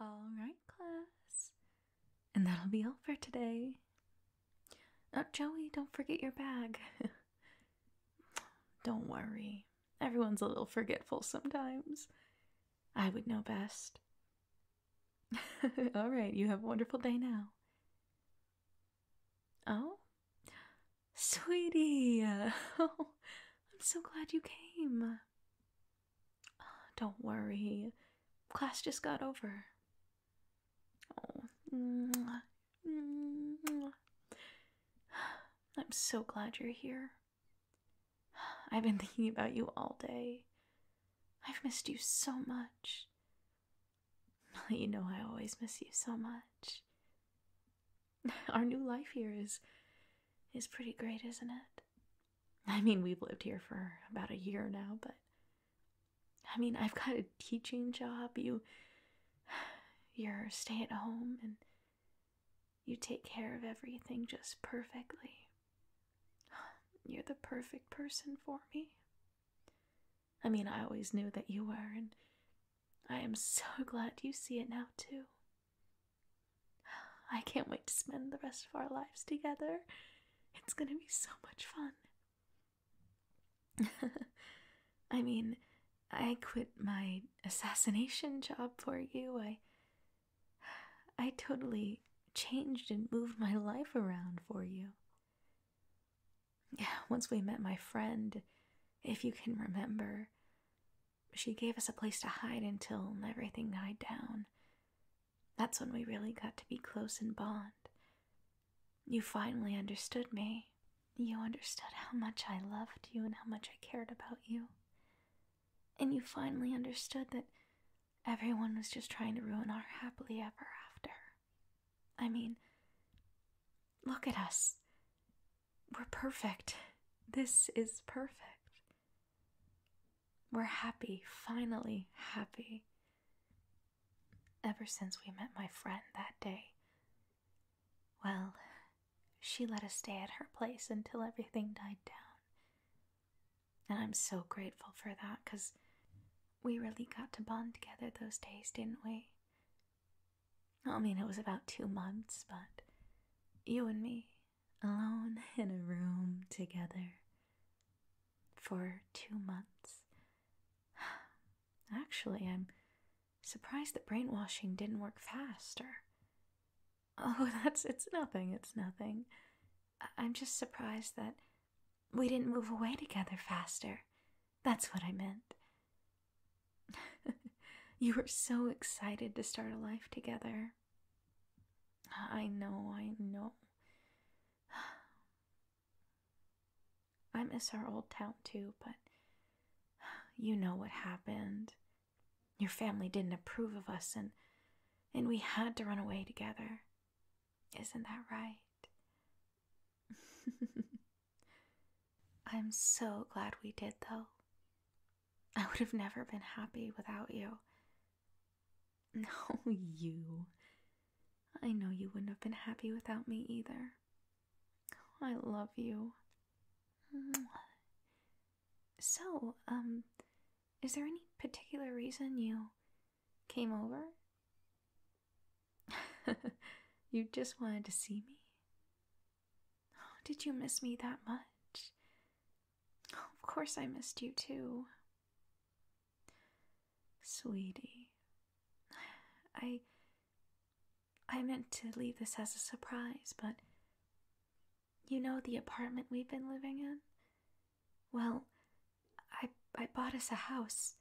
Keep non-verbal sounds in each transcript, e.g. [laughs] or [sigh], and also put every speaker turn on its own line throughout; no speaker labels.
Alright, class. And that'll be all for today. Oh, Joey, don't forget your bag. [laughs] don't worry. Everyone's a little forgetful sometimes. I would know best. [laughs] Alright, you have a wonderful day now. Oh? Sweetie! [laughs] I'm so glad you came. [sighs] don't worry. Class just got over. Oh, [sighs] I'm so glad you're here. [sighs] I've been thinking about you all day. I've missed you so much. [laughs] You know, I always miss you so much. [laughs] Our new life here is is pretty great, isn't it? I mean, we've lived here for about a year now, but I mean, I've got a teaching job. You you're stay at home and you take care of everything just perfectly. You're the perfect person for me. I mean, I always knew that you were, and I am so [laughs] glad you see it now, too. I can't wait to spend the rest of our lives together. It's gonna be so much fun. [laughs] I mean, I quit my assassination job for you. I I totally changed and moved my life around for you. Yeah, [sighs] once we met my friend, if you can remember, she gave us a place to hide until everything died down. That's when we really got to be close and bond. You finally understood me. You understood how much I loved you and how much I cared about you. And you finally understood that everyone was just trying to ruin our happily ever after. I mean, look at us. We're perfect. This is perfect. We're happy, finally happy. Ever since we met my friend that day. Well, she let us stay at her place until everything died down. And I'm so grateful for that because we really got to bond together those days, didn't we? I mean, it was about two months, but you and me, alone [laughs] in a room together for two months. [sighs] Actually, I'm surprised that brainwashing didn't work faster. Oh, [laughs] that's it's nothing, it's nothing. I'm just surprised that we didn't move away together faster. That's what I meant. [laughs] you were so excited to start a life together. I know, I know. [sighs] I miss our old town too, but [sighs] you know what happened. Your family didn't approve of us and and we had to run away together. Isn't that right? [laughs] I'm so glad we did though. [laughs] I would have never been happy without you. [laughs] No, you. I know you wouldn't have been happy without me either. I love you. [sighs] So, um, is there any particular reason you came over? [laughs] you just wanted to see me? Oh, [gasps] did you miss me that much? of course I missed you too. Sweetie, I. I meant to leave this as a surprise, but. You know the apartment we've been living in? Well, I, I bought us a house.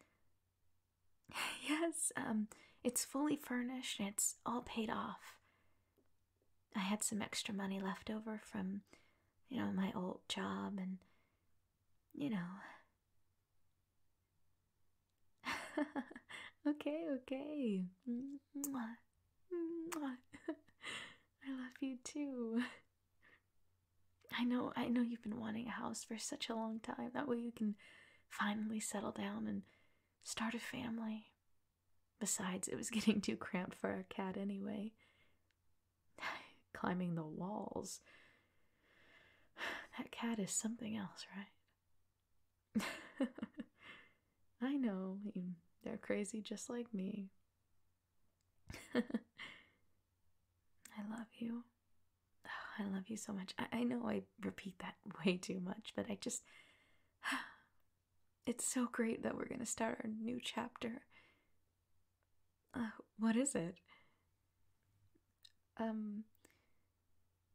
[laughs] yes, um, it's fully furnished and it's all paid off. I had some extra money left over from, you know, my old job and, you know. [laughs] okay, okay. [laughs] I love you too. I know, I know you've been wanting a house for such a long time. That way you can finally settle down and start a family. Besides, it was [laughs] getting too cramped for our cat anyway. [laughs] Climbing the walls. [sighs] That cat is something else, right? [laughs] I know, they're crazy just like me. I love you. [sighs] I love you so much. I, I know I repeat that way too much, but I just. It's so great that we're going to start our new chapter. Uh, what is it? Um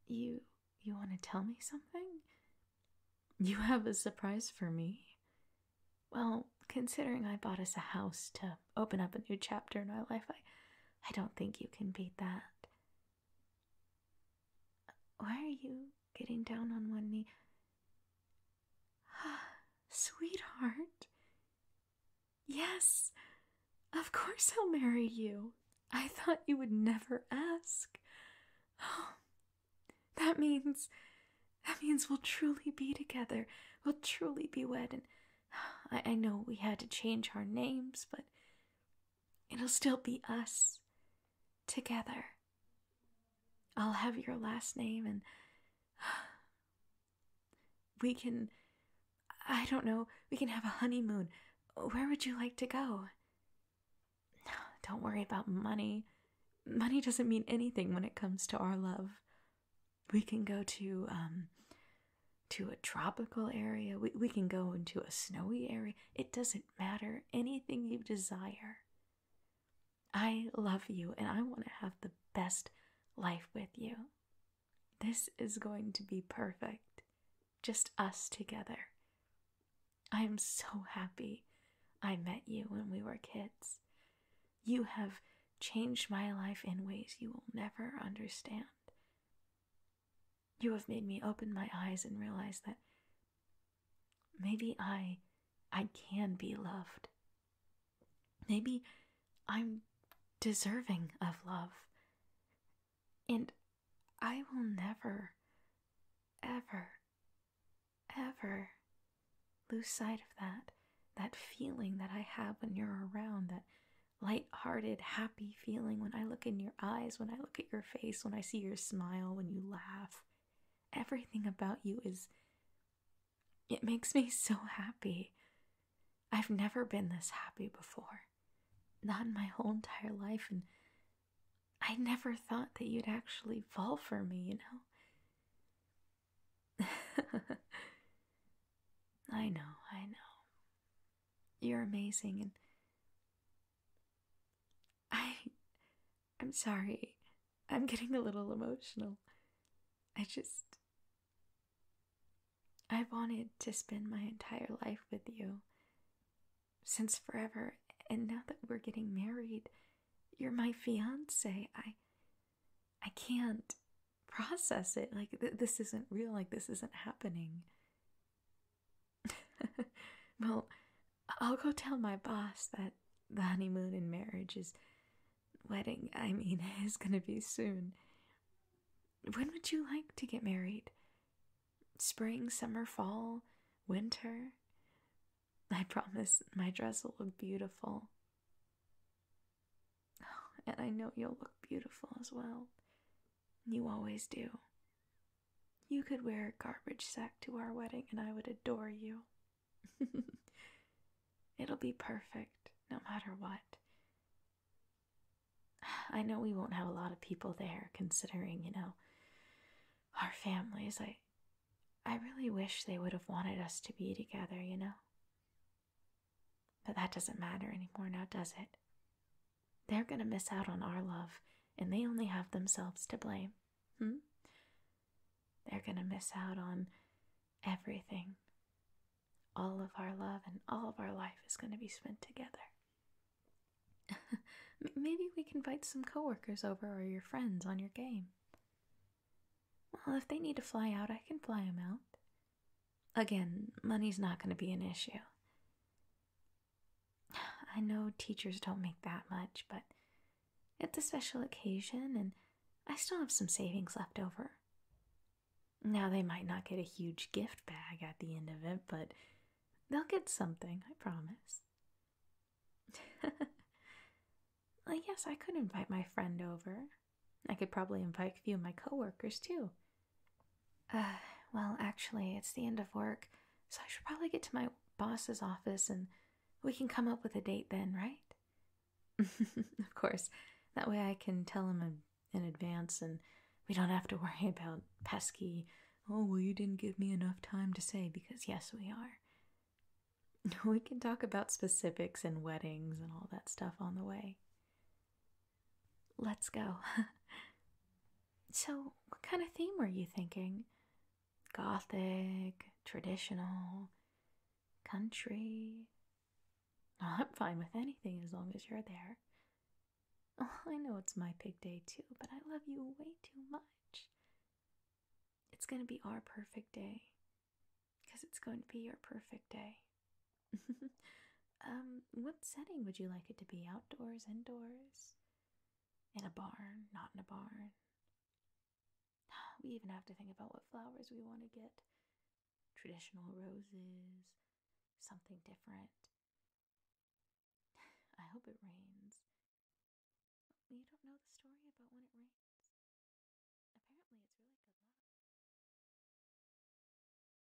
you you want to tell me something? You have a surprise for me? Well, considering I bought us a house to open up a new chapter in my life, I I don't think you can beat that. Why are you getting down on one knee? Ah, sweetheart. Yes, of course I'll marry you. I thought you would never ask. Oh, that means, that means we'll truly be together. We'll truly be wed. And ah, I, I know we had to change our names, but It'll still be us together. I'll have your last name and [sighs] we can, I don't know, we can have a honeymoon. Where would you like to go? [sighs] Don't worry about money. Money doesn't mean anything when it comes to our love. We can go to, um, to a tropical area. We, we can go into a snowy area. It doesn't matter, anything you desire. I love you and I want to have the best life with you. This is going to be perfect. Just us together. I am so happy I met you when we were kids. You have changed my life in ways you will never understand. You have made me open my eyes and realize that maybe I I can be loved. Maybe I'm deserving of love. And I will never, ever, ever lose sight of that. That feeling that I have when you're around, that light-hearted, happy feeling when I look in your eyes, when I look at your face, when I see your smile, when you laugh. Everything about you is. It makes me so happy. I've never been this happy before. Not in my whole entire life, and I never thought that you'd actually fall for me, you know? [laughs] I know, I know. You're amazing, and I. I'm sorry. I'm getting a little emotional. I just. I wanted to spend my entire life with you. Since forever, and now that we're getting married, you're my fiance. I. I can't process it. Like, this isn't real. Like, this isn't happening. [laughs] well, I'll go tell my boss that the honeymoon in marriage is. Wedding, I mean, [laughs] is gonna be soon. When would you like to get married? Spring, summer, fall, winter? I promise my dress will look beautiful. [sighs] and I know you'll look beautiful as well. You always do. You could wear a garbage sack to our wedding and I would adore you. [laughs] It'll be perfect, no matter what. I know we won't have a lot of people there, considering, you know, our families. I, I really wish they would have wanted us to be together, you know? But that doesn't matter anymore now, does it? They're going to miss out on our love, and they only have themselves to blame. Hmm? They're going to miss out on everything. All of our love and all of our life is going to be spent together. [laughs] Maybe we can invite some coworkers over or your friends on your game. Well, if they need to fly out, I can fly them out. Again, money's not going to be an issue. I know teachers don't make that much, but it's a special occasion and I still have some savings left over. Now, they might not get a huge gift bag at the end of it, but they'll get something, I promise. [laughs] yes, I could invite my friend over. I could probably invite a few of my coworkers too. Uh, well, actually, it's the end of work, so I should probably get to my boss's office and we can come up with a date then, right? [laughs] of course. That way I can tell him in advance and we don't have to [laughs] worry about pesky, oh, well, you didn't give me enough time to say because yes, we are. [laughs] We can talk about specifics and weddings and all that stuff on the way. Let's go. [laughs] so, what kind of theme were you thinking? Gothic, traditional, country? I'm fine with anything as long as you're there. [laughs] I know it's my pig day too, but I love you way too much. It's going to be our perfect day. Because it's going to be your perfect day. [laughs] um, what setting would you like it to be? Outdoors, indoors? In a barn, not in a barn? [gasps] We even have to think about what flowers we want to get traditional roses, something different. [sighs] I hope it rains. You don't know the story about when it rains. Apparently, it's really good luck.